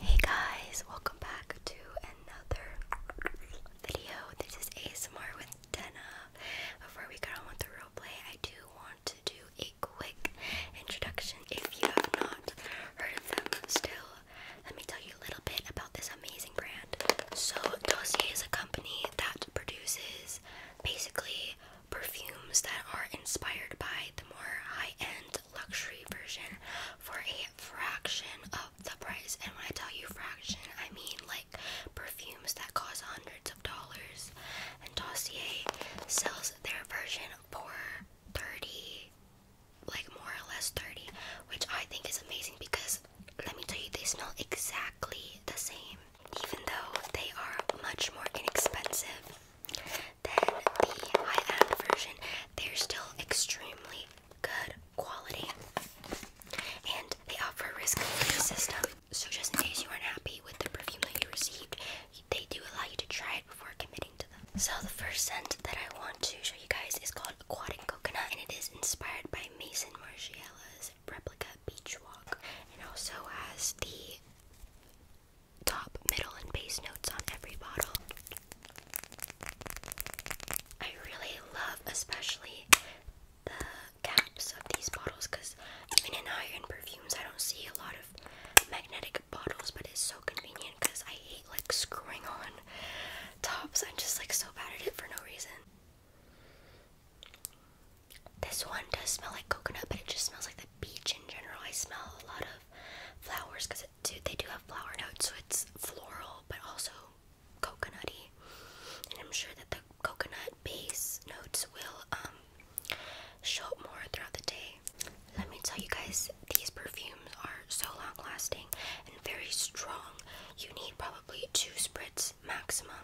Hey guys, welcome back to another video. This is ASMR with Dena. Before we get on with the roleplay, I do want to do a quick introduction. If you have not heard of them still, let me tell you a little bit about this amazing brand. So, Dossier is a company that produces basically perfumes that are inspired by the more high end luxury version for a fraction of the price. And when I tell you fraction, I mean like perfumes that cost hundreds of dollars. And Dossier sells their version for 30 like more or less 30 which I think is amazing because let me tell you they smell exactly the same even though they are much more inexpensive than the high-end version, they're still extremely good quality. And they offer risk-free system. So just in case you aren't happy with the perfume that you received, they do allow you to try it before committing to them. So the first scent that I want to show you guys is called and Coconut, and it is inspired by Mason Margiela's replica beach walk. It also has the top, middle, and base notes on every bottle. I really love, especially the caps of these bottles because even in higher end perfumes, I don't see a lot of magnetic bottles, but it's so convenient because I hate like screwing on tops. I'm just like so bad at it for no reason. This one does smell like coconut, but it just smells like the beach in general. I smell a lot of flowers because they do have flower notes, so it's floral but also coconutty. And I'm sure that the coconut base notes will um, show up more throughout the day. Let me tell you guys, these perfumes are so long lasting and very strong. You need probably two spritzes maximum.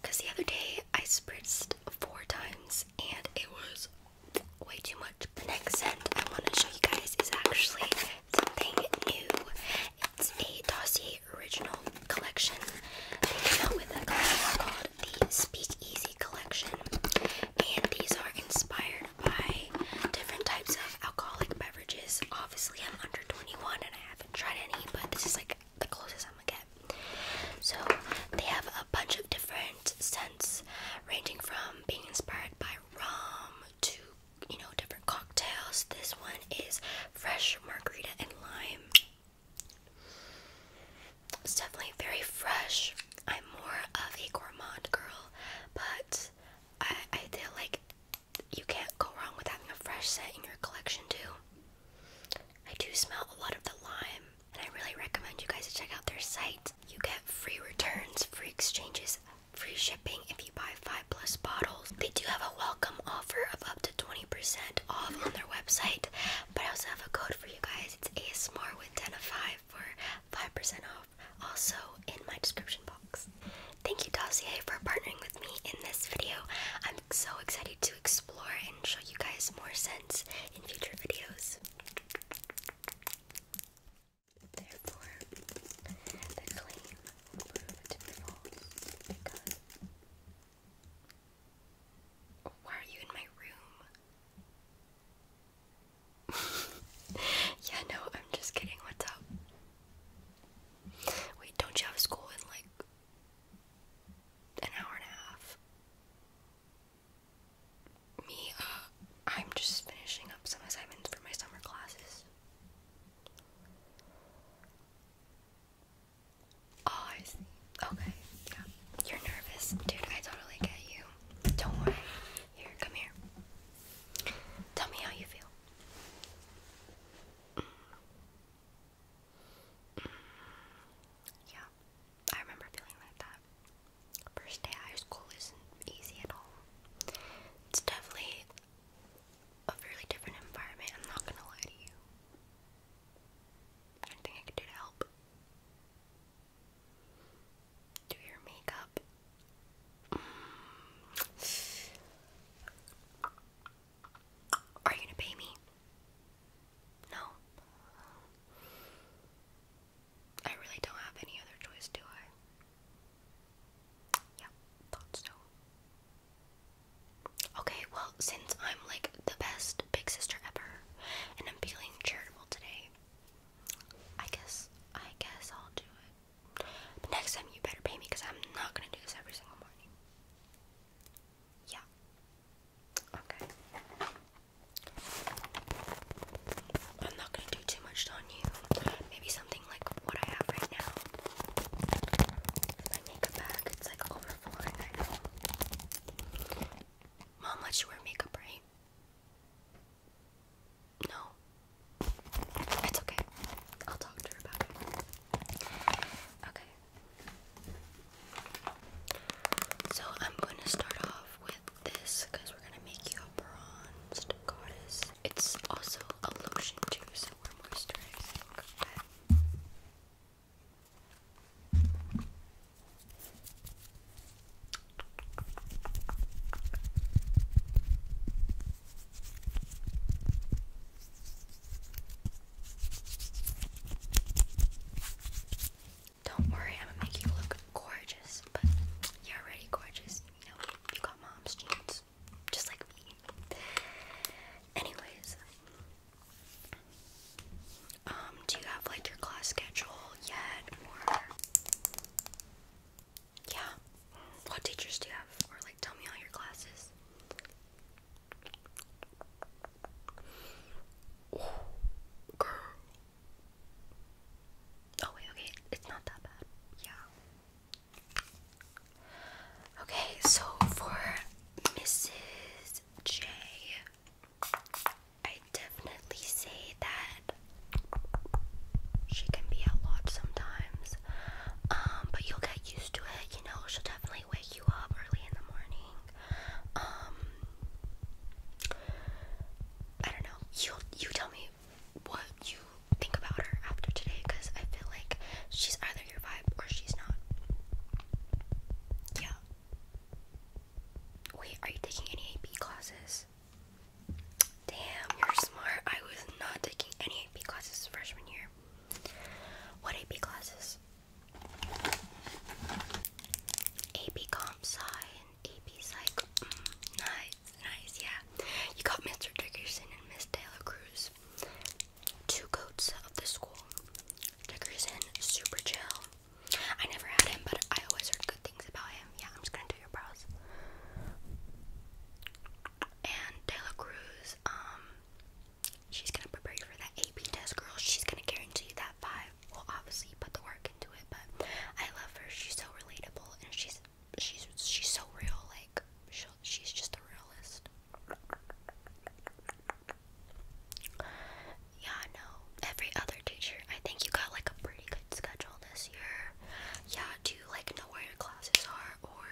Because the other day I spritzed four times and it was way too much. The next scent I want to show you guys is actually something new. It's a Dossier Original Collection. They came out with a collection called the Speakeasy Collection. And these are inspired by different types of alcoholic beverages. Obviously, I'm under 21 and I haven't tried any, but this is like the closest I'm gonna get. So they have a bunch of different scents, ranging from being inspired by rum to you know different cocktails. This one is fresh margarita and lime. definitely very fresh. I'm more of a gourmand girl, but I I feel like you can't go wrong with having a fresh scent in your collection too. I do smell a lot of the lime, and I really recommend you guys to check out their site. You get free returns, free exchanges, free shipping if you buy 5 plus bottles. They do have a welcome offer of up to 20% off on their website, but I also have a code for you guys. It's ASMR with 10 of 5 for 5% off, also in my description box. Thank you, Dossier, for partnering with me in this video. I'm so excited to explore and show you guys more sense in future videos. Why are you in my room? yeah, no, I'm just kidding. What's up? Wait, don't you have school in like an hour and a half. Me, uh, I'm just finishing up some assignments for my summer classes. Oh, I see. Okay, yeah. You're nervous. Dude, I totally get you. Don't worry. Here, come here. Tell me how you feel. Yeah, I remember feeling like that. First day high school isn't easy at all. It's definitely a really different environment, I'm not gonna lie to you. Anything I could do to help? Do your makeup? Mm. Are you gonna pay me? No. I really don't have any other choice, do I? Yeah, thought so. Okay, well, since I'm like the best big sister ever and I'm feeling charitable today, I guess I guess I'll do it. next time you better pay me because I'm not gonna do this every single morning. Yeah. Okay. I'm not gonna do too much on you. Maybe something like what I have right now. My makeup bag, it's like overflowing Mom lets you wear makeup, right? No. It's okay. I'll talk to her about it. Okay. So I'm going to start off with this because we're going to make you a bronzed goddess. It's also a lotion too, so we're moisturizing. Don't worry, I'm gonna make you look gorgeous, but you're already gorgeous. You you got mom's jeans, just like me. Anyways, um, do you have like your class schedule yet, yeah, what teachers do you have, tell me all your classes. girl. Oh, wait, okay, it's not that bad. Yeah. Okay, so for Mrs. J, I definitely say that she can be a lot sometimes. Um, but you'll get used to it, you know, she'll definitely wake you up early in the morning. Um, I don't know. You you tell me what you think about her after today because I feel like she's either your vibe or she's not. Yeah. Wait, are you taking any AP classes? Damn, you're smart. I was not taking any AP classes freshman year. What AP classes? AP Comp Sci and AP Psych. Mm, nice, nice, yeah. You got Mr. Dickerson and Miss Taylor Cruz. Two goats of the school. Dickerson, super chill. I never had him, but I always heard good things about him. Yeah, I'm just gonna do your brows and De Cruz, um, she's gonna prepare you for that AP test, girl. She's gonna guarantee you that five. will obviously, put the work into it, but I love her. She's so relatable, and she's she's she's so real. Like she she's just a realist. Yeah, no. Every other teacher, I think you got like a pretty good schedule this year. Yeah, do you like know where your classes are or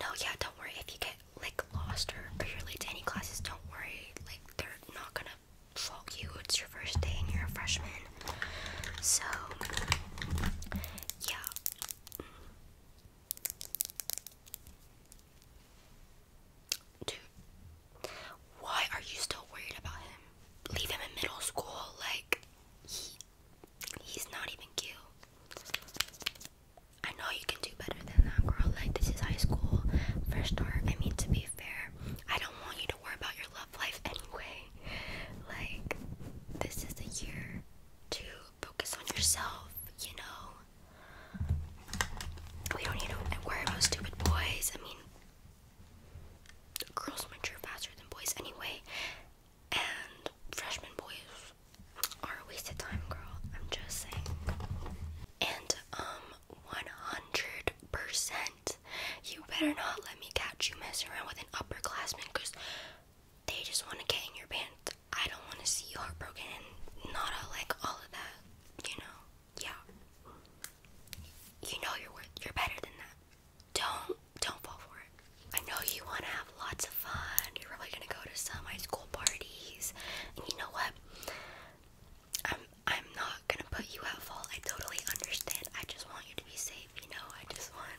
no, yeah, don't worry. If you get like lost or, you're late to any classes, don't worry. Like they're not gonna fault you. It's your first day and you're a freshman. So yeah. Dude, why are you still worried about him? Leave him in middle school. Like He's not even cute. I know you can do better than that, girl. Like, this is high school. First start, I mean, to be fair, I don't want you to worry about your love life anyway. Like, this is a year to focus on yourself, you know? We don't need to worry about stupid boys. I mean, girls mature faster than boys anyway. And freshman boys are a waste of time, girl. I'm just saying. And, um, 100%. You better not let me catch you messing around with an upperclassman because they just want to get in your pants. I don't want to see you heartbroken and not all, like all of that, you know? Yeah. You know you're worth, you're better than that don't don't fall for it. I know you want to have lots of fun. You're probably gonna go to some high school parties, and you know what? I'm I'm not gonna put you at fault. I totally understand. I just want you to be safe. You know, I just want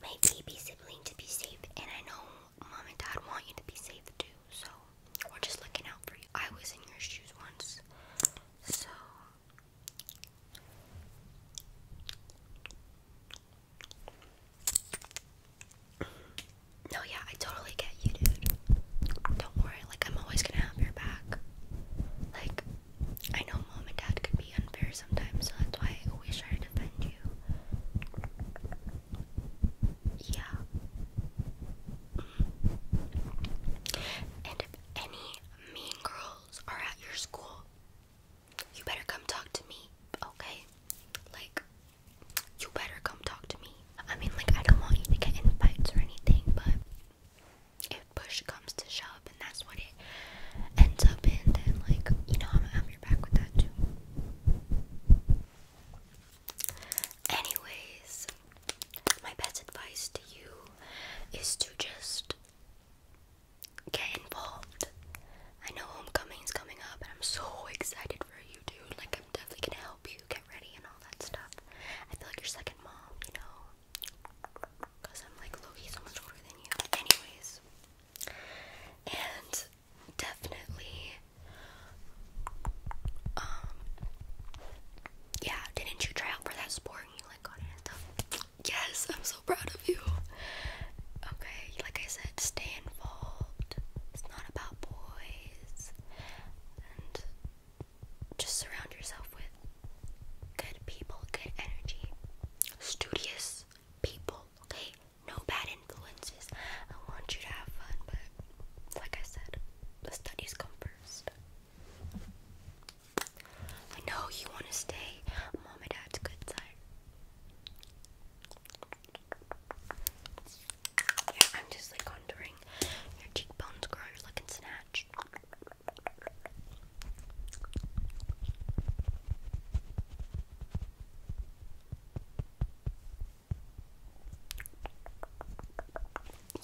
my baby sibling to be safe, and I know mom and dad want you to be safe too. So we're just looking out for you. I was in your shoes once, so no, yeah, I totally get you, dude. Don't worry, like, I'm always gonna have your back. Like, I know mom and dad could be unfair sometimes, so that's why I always try to defend you. Yeah. And if any mean girls are at your school, you better come talk to me, okay? Like, you better come talk to me. I mean, like, I don't want you to get in or anything, but if push comes to shove and that's what it ends up in, then, like, you know, I'm going your back with that too. Anyways, my best advice to you is to just get involved. I know homecoming is coming up and I'm so excited for you dude. Like I'm definitely gonna help you get ready and all that stuff. I feel like your second mom, you know. Cause I'm like Loki so much older than you. Anyways. And definitely um yeah, didn't you try out for that sport and you like got it Yes, I'm so proud of you. Okay, like I said, stay involved. It's not about boys. And just surround yourself with good people, good energy, studious people, okay? No bad influences. I want you to have fun, but like I said, the studies come first. I know you want to stay mom and dad's good side. I'm just like contouring your cheekbones, girl. You're looking snatched.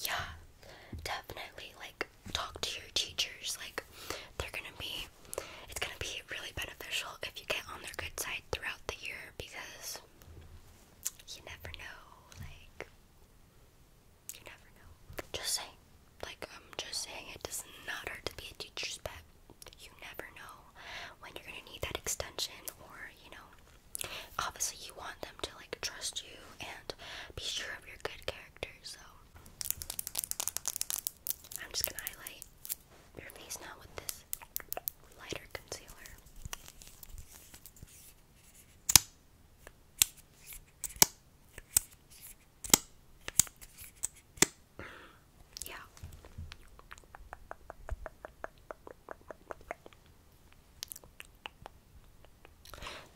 Yeah, definitely. Like, talk to your teachers. Like they're gonna be it's gonna be really beneficial if you get on their good side throughout the year because you never know, like you never know. Just saying. Like I'm um, just saying it does not hurt to be a teacher's pet. You never know when you're gonna need that extension or, you know, obviously you want them to like trust you and be sure of your good character, so I'm just gonna highlight your face now with this lighter concealer. yeah.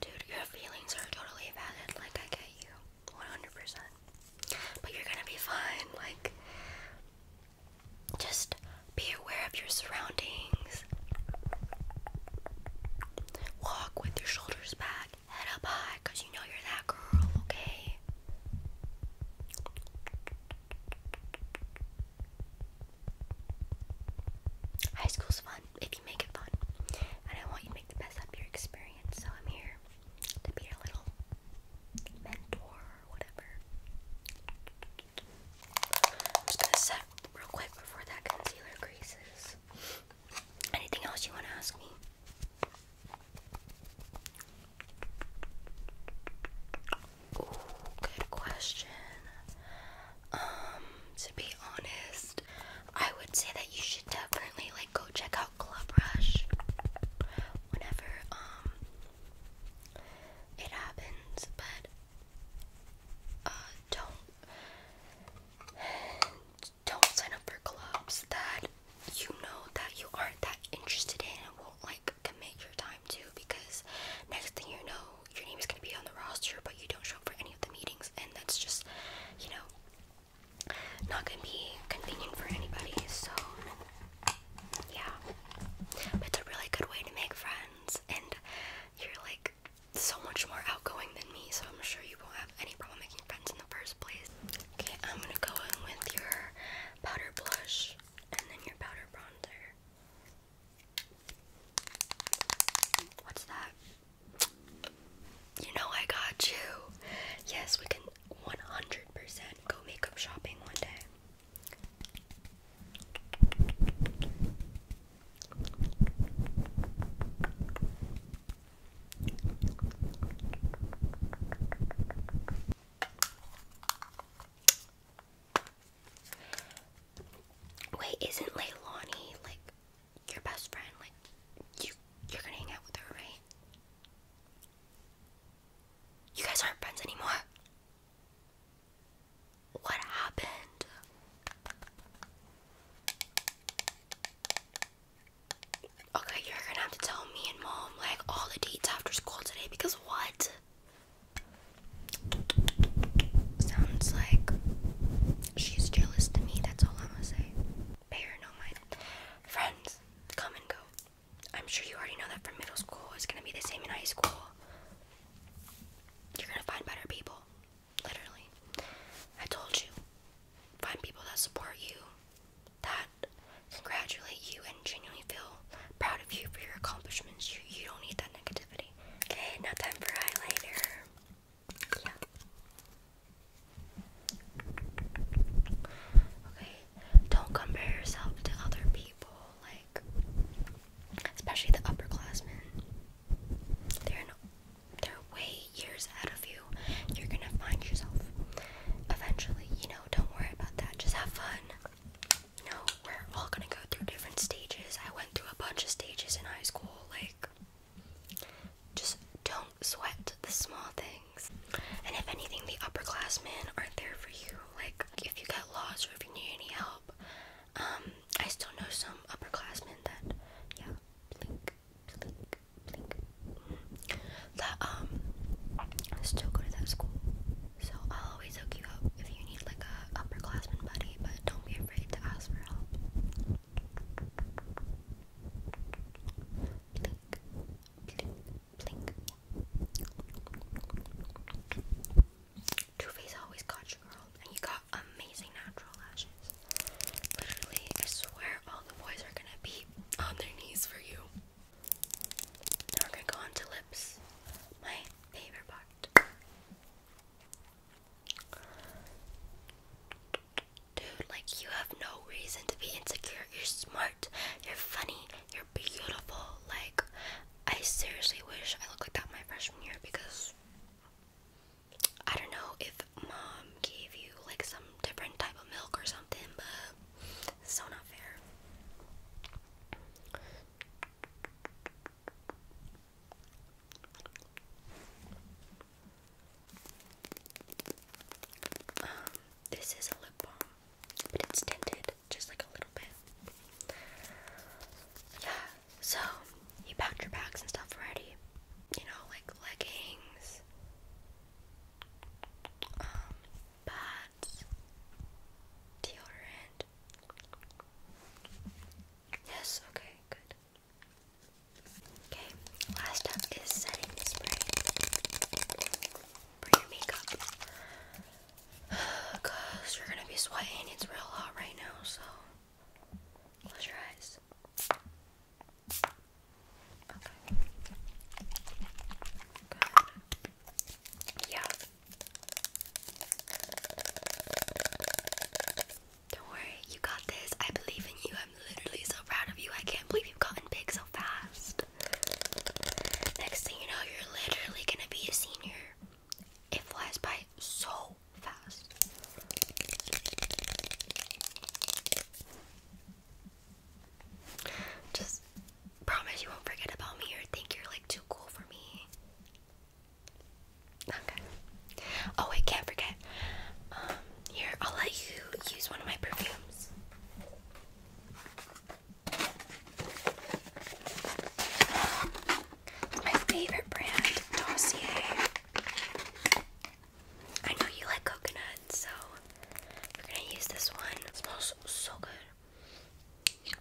Dude, your feelings are totally valid. Like, I get you 100%. But you're gonna be fine. Like, just be aware of your surroundings. Walk with your shoulders back, head up high, you know you're that girl, okay? High school's fun if you make it fun. And I want you to make the best of your experience. So I'm here to be your little mentor or whatever. just to set real quick before that concealer creases. Anything else you wanna ask me? Ooh, good question. Um, to be honest, I would say that you should definitely like go check out Club Rush whenever um it happens, but uh don't don't sign up for clubs that you know that you aren't that interested in and won't like commit your time to because next thing you know your name is going to be on the roster, but you don't show up for any of the meetings, and that's just, you know, not going to be convenient for anybody. So, yeah, but it's a really good way to make friends, and you're like so much more outgoing than me, so I'm sure you won't have any problem making friends in the first place. Okay, I'm gonna go in with your powder blush and then your powder bronzer. What's that? You know I got you. Yes, we can 100% go makeup shopping one day. Wait, isn't Leilani like your best friend? Like you you're gonna hang out with her, right? You guys aren't friends anymore. What happened? Okay, you're gonna have to tell me and mom like all the dates after school today because what? Sounds like she's jealous to me, that's all I'm gonna say. Pay her no mind. Friends, come and go. I'm sure you already know that from middle school, it's gonna be the same in high school. You're gonna find better people. Literally. I told you. Find people that support you, that congratulate you, and genuinely feel proud of you for your accomplishments. You, you don't need that negativity. Okay. Okay, time for highlighter. Yeah. Okay. Don't compare yourself to other people, like especially the upperclassmen. They're they're way years ahead of you. You're gonna find yourself eventually. You know, don't worry about that. Just have fun you we're all gonna go through different stages. I went through a bunch of stages in high school, like, just don't sweat the small things. And if anything, the upperclassmen aren't there for you. Like, if you get lost or if you need any help, um, I still know some upperclassmen that, yeah, blink, blink, blink, that, um, still go to that school. So, always hook up if you need like a upperclassman buddy, but don't be afraid to ask for help. Face always got you, and you got amazing natural lashes. Literally, I swear all the boys are gonna be on their knees for you. Now we're gonna go on to lips. My favorite part. Dude, like you have no reason to be insecure. You're smart, you're funny, you're beautiful. Like, I seriously wish I looked like that my freshman year because I don't know if mom gave you like some different type of milk or something, but it's so not fair. Um, this is a lip balm, but it's tinted just like a little bit. Yeah, so you packed your bags and stuff already. You know, like leggings. Um, pads, deodorant, Yes, okay, good. Okay, last up is setting spray for makeup. Cause you're gonna be sweating, it's real hot right now, so close your eyes. Okay. Good. Yeah, don't worry, you got this. I believe in you. I'm literally so proud of you. I can't believe you've gotten big so fast. Next thing you know, you're literally gonna be a senior. It flies by so fast. Just promise you won't forget about me or think you're like too cool for me. Okay. Oh, I can't forget. Um, here, I'll let you use one of my perfumes. my favorite brand, Dossier. I know you like coconut, so we're gonna use this one. smells so good.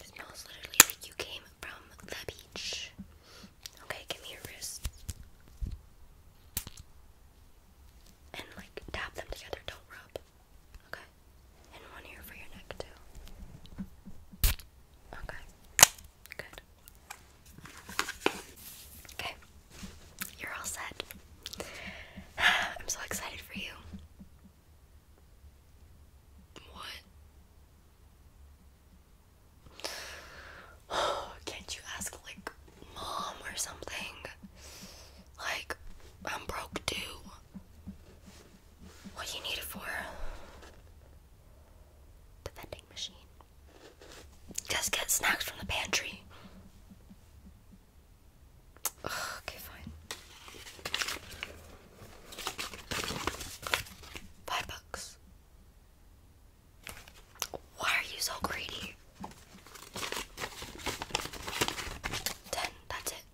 It smells literally like you came from the beach. Okay, give me your wrists. And like tap them together, don't rub. Okay. And one ear for your neck too. Okay. Good. Okay. You're all set. I'm so excited for you. What? Can't you ask, like, mom or something? Like, I'm broke too. What do you need it for? The vending machine. Just get snacks from the pantry. Ugh, okay, fine. Five bucks. Why are you so greedy? Ten, that's it.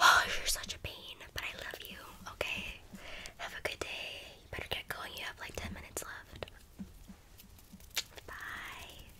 Oh, you're such a pain, but I love you, okay? Have a good day. You better get going, you have like 10 minutes left. Bye.